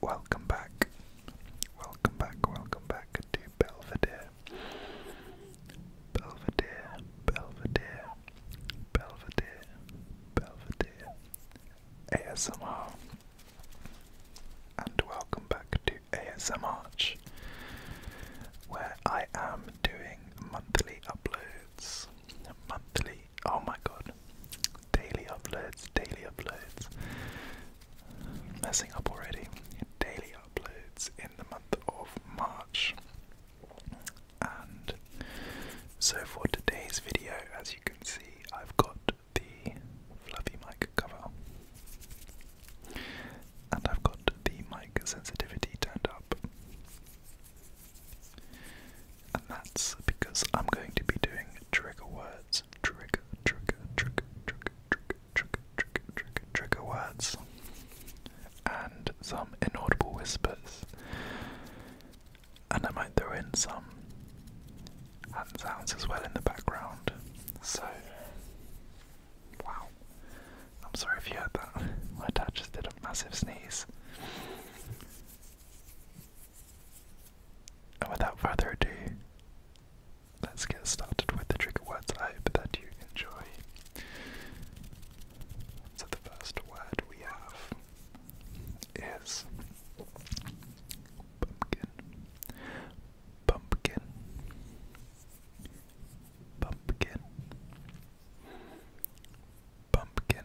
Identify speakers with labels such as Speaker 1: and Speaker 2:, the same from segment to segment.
Speaker 1: Welcome back. Welcome back, welcome back to Belvedere. Belvedere, Belvedere, Belvedere, Belvedere. ASMR. And welcome back to ASMR, where I am doing monthly uploads. Monthly Oh my god. Daily uploads, daily uploads. Messing up already. Daily uploads in the month of March. And so for today's video, as you can see, I've got the fluffy mic cover. And I've got the mic sensitivity turned up. And that's because I'm going to be doing trigger words. Trigger, trigger, trigger, trigger, trigger, trigger, trigger, trigger, words. And some inaudible whispers. And I might throw in some hand sounds as well in the background. So, wow. I'm sorry if you heard that. My dad just did a massive sneeze. And without further ado, let's get started with the trigger words. I hope that you enjoy. So, the first word we have is pumpkin, pumpkin, pumpkin, pumpkin,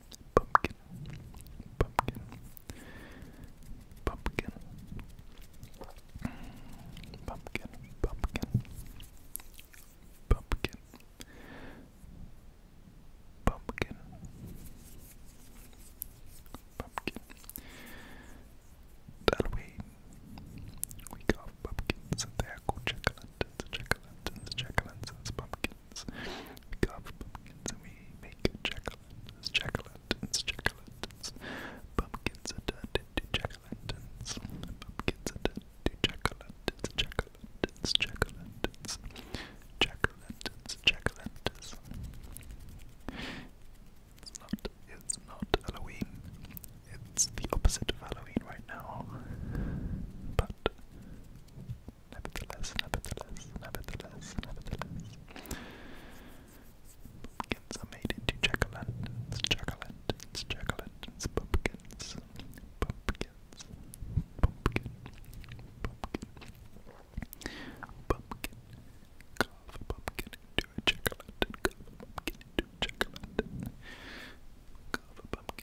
Speaker 1: pumpkin, pumpkin, pumpkin, pumpkin, pumpkin, pumpkin, pumpkin, pumpkin. Halloween, we got pumpkins and they jack-o'-lanterns, jack-o'-lanterns, jack-o'-lanterns, pumpkins. We carve pumpkins and we make jack-o'-lanterns, Pumpkins turned into jack Pumpkins turned into jack-o'-lanterns, jack o It's not, it's not Halloween. It's the opposite of Halloween right now. But Nevertheless, nevertheless, nevertheless, nevertheless. Pumpkins are made into chocolate. It's chocolate. It's chocolate. It's pumpkins. Pumpkins. Pumpkin. Pumpkin. Pumpkin. Carve a pumpkin into a chocolate. Carve a pumpkin into a chocolate. Carve a pumpkin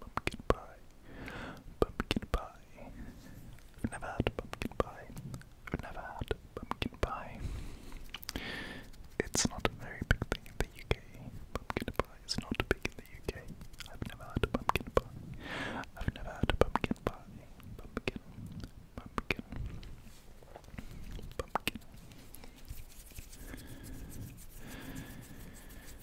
Speaker 1: Pumpkin pie. Pumpkin pie. I've never had pumpkin pie. I've never had pumpkin pie. It's not a very big thing in the UK. Pumpkin pie is not big in the UK. I've never had a pumpkin pie. I've never had a pumpkin pie. Pumpkin. Pumpkin. Pumpkin.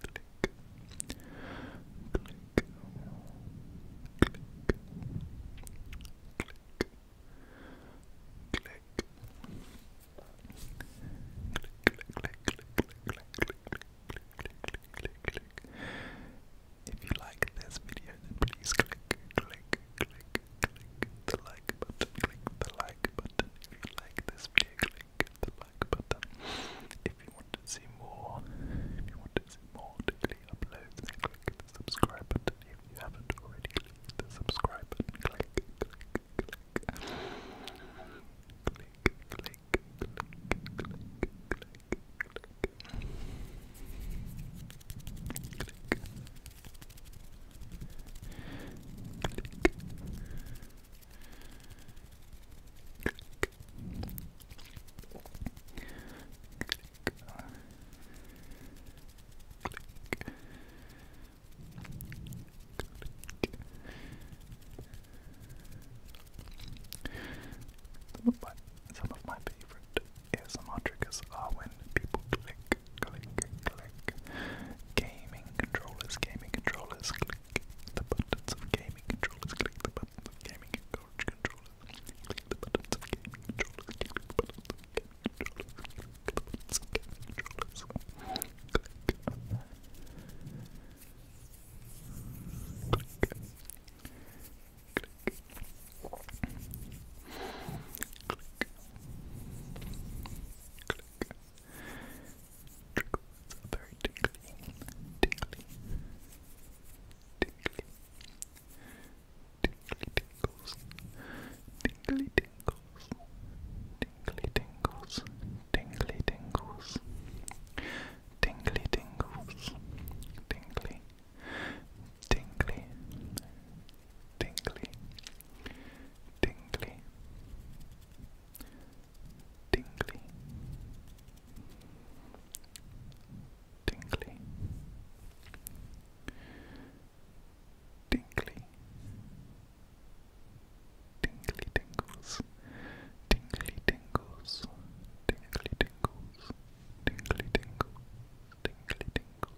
Speaker 1: click, click, click, click. Click. If you like this video, then please click, click, click, click the like button, click the like button. If you like this video, click the back If you want to see more, if you want to see more daily uploads, then click the subscribe button. If you haven't already, click the subscribe button. Click, click, click. Click, click, click, click, click, click. Click. Click. Some of my, favorite ASMR triggers are when people click click, click. Gaming controllers, gaming controllers, click the buttons of gaming controllers, click the buttons gaming controllers, click the buttons gaming controllers, click the buttons gaming controllers, click the buttons gaming controllers, click. Click. Click. Click. Click. Trickles are very tingly, tingly, tingly, tingly tingles, tingly tingles, tingly tingles, tingly tingles, tingly tingles, tingly, tingly, tingly tingly, tingly, tingly, tingly, tingly tingles, tingly tingles, tingly tingles, tingly tingles, tingly tingles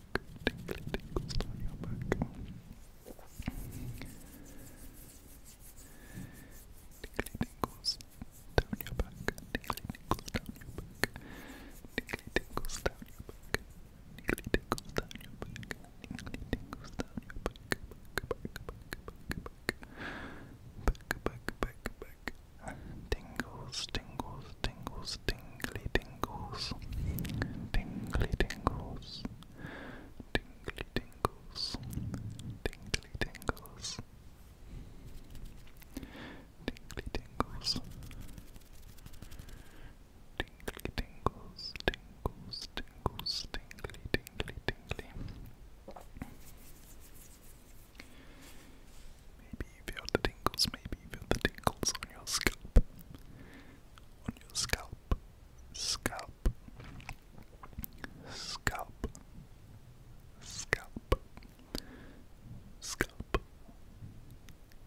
Speaker 1: tingles down your back. Tingly tingles down your back. Tingly tingles down your back. Tingly tingles down your back. Tingly tingles down your back. Tingly tingles down your back. Back, back, back, back, back, back, back, back, back. Tingles, tingles, tingles, tingly tingles, tingly tingles, tingly tingles, tingly tingles, tingly tingles, tingly tingles, tingles, tingles, tingly, tingly, tingly. Maybe you feel the tingles, maybe feel the tingles on your scalp. On your scalp. Scalp. Scalp. Scalp.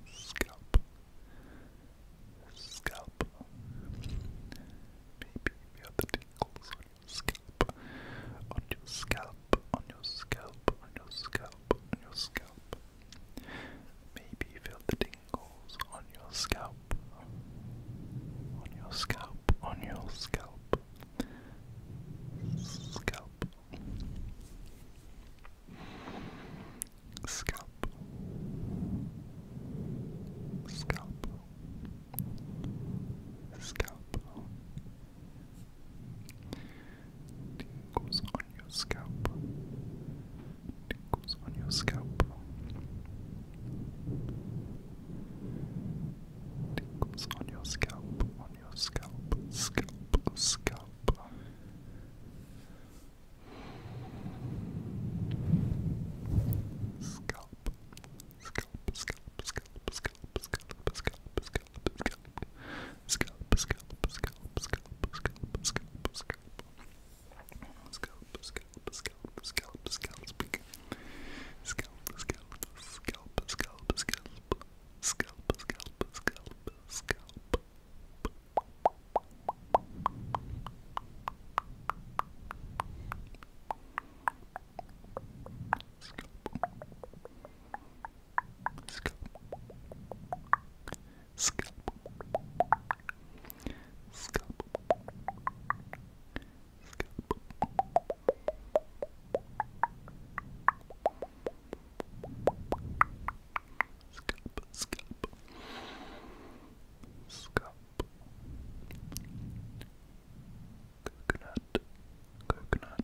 Speaker 1: Scalp. Scalp. Maybe feel the tingles on your scalp. On your scalp. On your scalp. On your scalp. On your scalp. Maybe feel the tingles on your scalp, on your scalp, on your scalp, scalp, scalp, scalp, scalp. Scalp, Tingles on your scalp. Tingles on your scalp. Tingles on your scalp. On your scalp. Scalp. Scalp. Scalp. Scalp. Scalp. Scalp. Scalp. Scalp. Scalp. Scalp scalp, scalp, scalp, scalp, scalp, scalp, scalp. Scalp, scalp, scalp, scalp, scalp, speak. Scalp, scalp, scalp, scalp, scalp, scalp, scalp, scalp, scalp. Scalp. Scalp. Scalp. Scalp. Scalp. Scalp, scalp, scalp, coconut, coconut,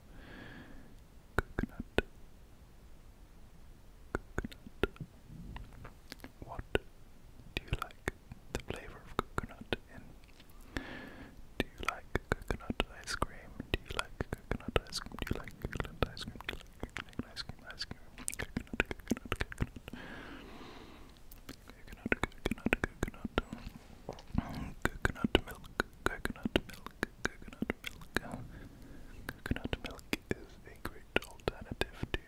Speaker 1: coconut, coconut. What do you like the flavor of coconut in? Do you like coconut ice cream? Do you like coconut ice cream? Do you like coconut ice cream? Do you like coconut ice cream? Ice cream, coconut, coconut, coconut coconut, coconut, coconut, coconut milk, coconut milk, coconut milk. is a great alternative to.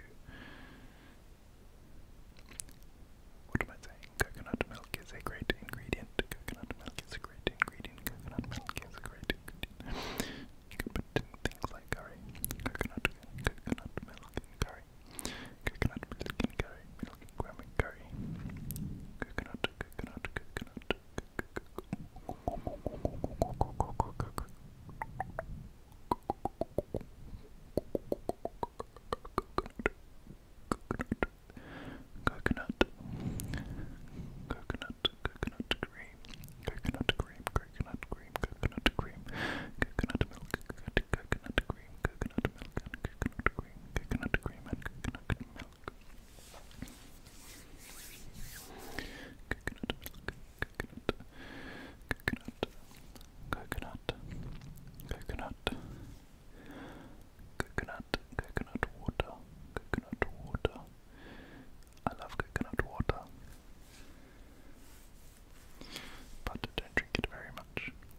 Speaker 1: What am I saying? Coconut milk is a great ingredient. Coconut milk is a great ingredient. Coconut milk is a great ingredient. But things like curry, coconut, coconut milk, curry. Coconut milk and curry, milk and graham and curry. Coconut, coconut, coconut. Coconut, coconut, coconut cream, coconut cream, coconut cream, coconut cream, coconut milk, coconut cream, coconut milk, coconut cream, coconut cream, and coconut milk. Coconut milk, coconut, coconut, coconut, coconut, coconut, coconut water, coconut water. I love coconut water, but don't drink it very much.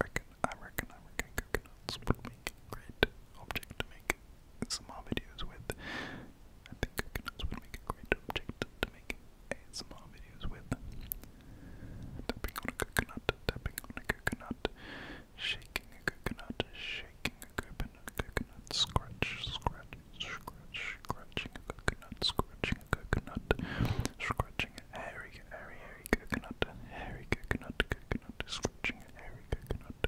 Speaker 1: Reckon, I reckon, I reckon coconuts would make a great object to make some videos with. I think coconuts would make a great object to make ASMR videos with. Tapping on a coconut, tapping on a coconut, shaking a coconut, shaking a coconut, coconut, scratch, scratch, scratch, scratching a coconut, scratching coconut, scratching a hairy, hairy, hairy coconut, hairy coconut, coconut, scratching a hairy coconut.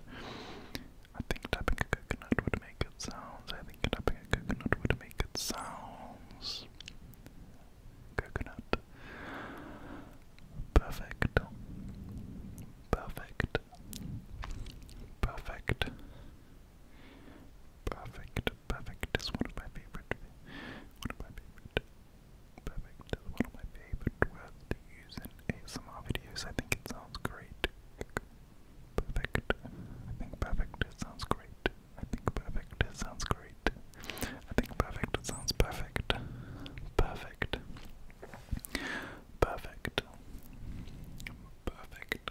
Speaker 1: I think tapping a coconut would make good sounds. I think tapping a coconut would make good sounds. Coconut. Perfect. Perfect. Perfect. Perfect. Perfect is one of my favorite. One of my favorite. Perfect is one of my favorite words to use in ASMR videos. I think it sounds great. Perfect. I think perfect sounds great. I think perfect sounds great. I think perfect sounds Perfect. Perfect. Perfect. Perfect.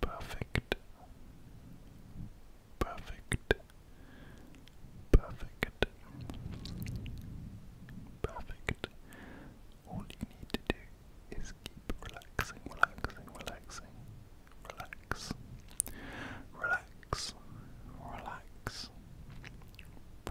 Speaker 1: Perfect. Perfect. Perfect. Perfect. All you need to do is keep relaxing, relaxing, relaxing. Relax. Relax. Relax. Relax.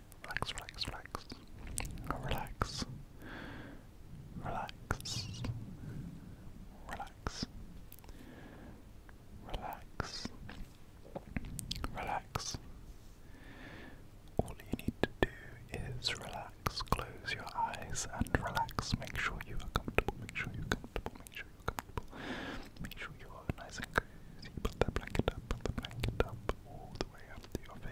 Speaker 1: Relax, relax, relax. Relax. Relax. Relax. Relax. All you need to do is relax. Close your eyes and relax. Make sure you are comfortable. Make sure you're comfortable. Make sure you're comfortable. Make sure you are nice and cozy. Put that blanket up. Put the blanket up all the way up to your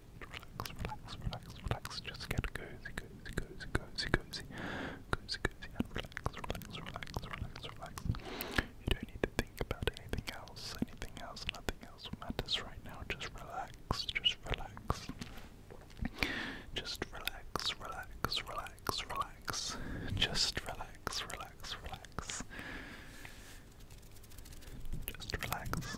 Speaker 1: relax, relax, relax, relax. Just get cozy, cozy, cozy, cozy, cozy, cozy, cozy, and relax, relax, relax, relax, relax. You don't need to think about anything else. Anything else, nothing else matters right now. Just relax, just relax. Just relax, relax, relax, relax. Just relax, relax, relax. Just relax.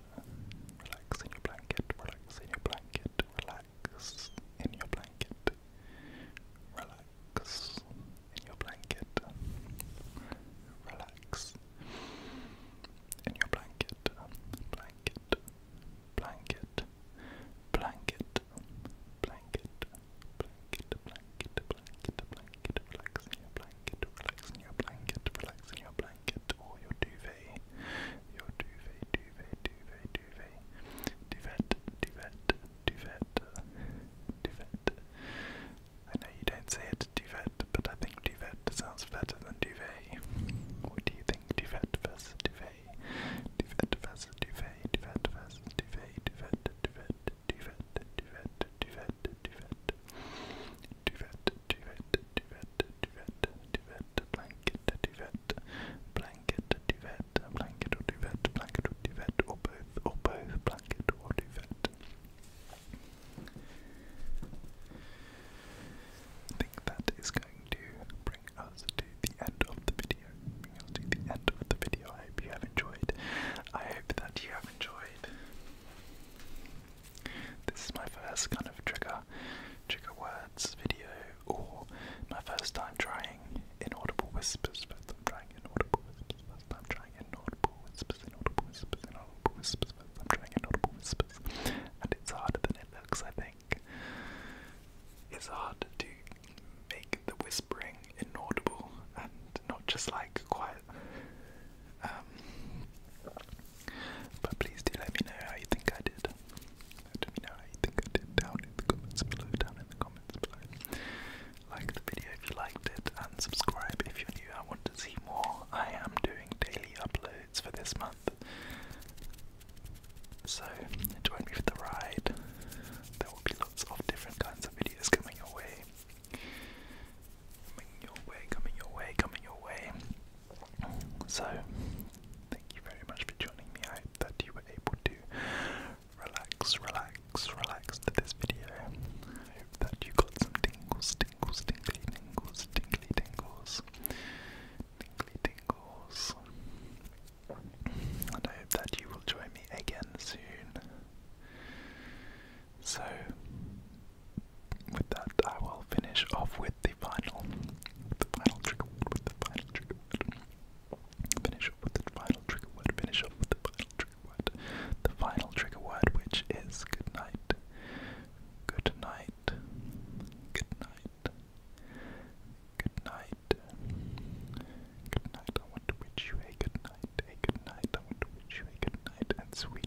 Speaker 1: Relax in your blanket, relax in your blanket, relax in your blanket. Relax in your blanket. Relax in your blanket. Blanket. Blanket. Blanket. Blanket. Blanket. Blanket. Blanket. Blanket. Relax in your blanket. Relax in your blanket. Relax in your blanket blanket or your duvet, your duvet, duvet, duvet, duvet, duvet, duvet, duvet, duvet. I know you don't say it duvet, but I think duvet sounds better than duvet. What do you think, duvet versus duvet? Duvet versus duvet, duvet versus duvet, duvet, duvet, duvet, duvet, duvet, duvet, duvet, duvet, duvet, duvet, duvet, duvet, blanket, duvet, blanket, duvet, blanket or duvet, blanket or duvet, or both, or both, blanket or duvet. I think that is going to bring us to the end of the video. Bring us to the end of the video. I hope you have enjoyed. I hope that you have enjoyed. This is my first kind of trigger, trigger words video, or my first time trying inaudible whispers. First time trying inaudible whispers. First time trying inaudible whispers. Inaudible whispers. Inaudible whispers. First time trying inaudible whispers. And it's harder than it looks. I think it's hard to make the whispering inaudible and not just like quiet. Um, but please do let me know how you think I did. Let me know how you think I did down in the comments below, down in the comments below. Like the video if you liked it, and subscribe if you're new. I want to see more. I am doing daily uploads for this month. So join me for the ride. There will be lots of different kinds of videos coming your way. Coming your way, coming your way, coming your way. So, thank you very much for joining me. I hope that you were able to relax, relax, relax to this video. I hope that you got some tingles, tingles, tingly, tingles, tingly, tingles, tingly, tingles. And I hope that you will join me again soon. So, with that, I will finish off with the final, the final trigger word, with the final trigger word. Finish off with the final trigger word. Finish off with the final trigger word. The final trigger word, which is good night. Good night. Good night. Good night. Good night. I want to wish you a good night. A good night. I want to wish you a good night and sweet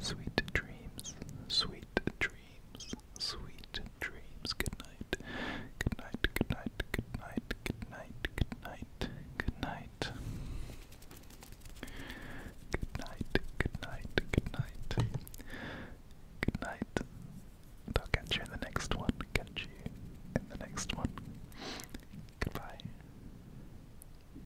Speaker 1: Sweet dreams, sweet dreams, sweet dreams. Good night, good night, good night, good night, good night, good night, good night. Good night, good night, good night. Good night. And I'll catch you in the next one. Catch you in the next one. Goodbye.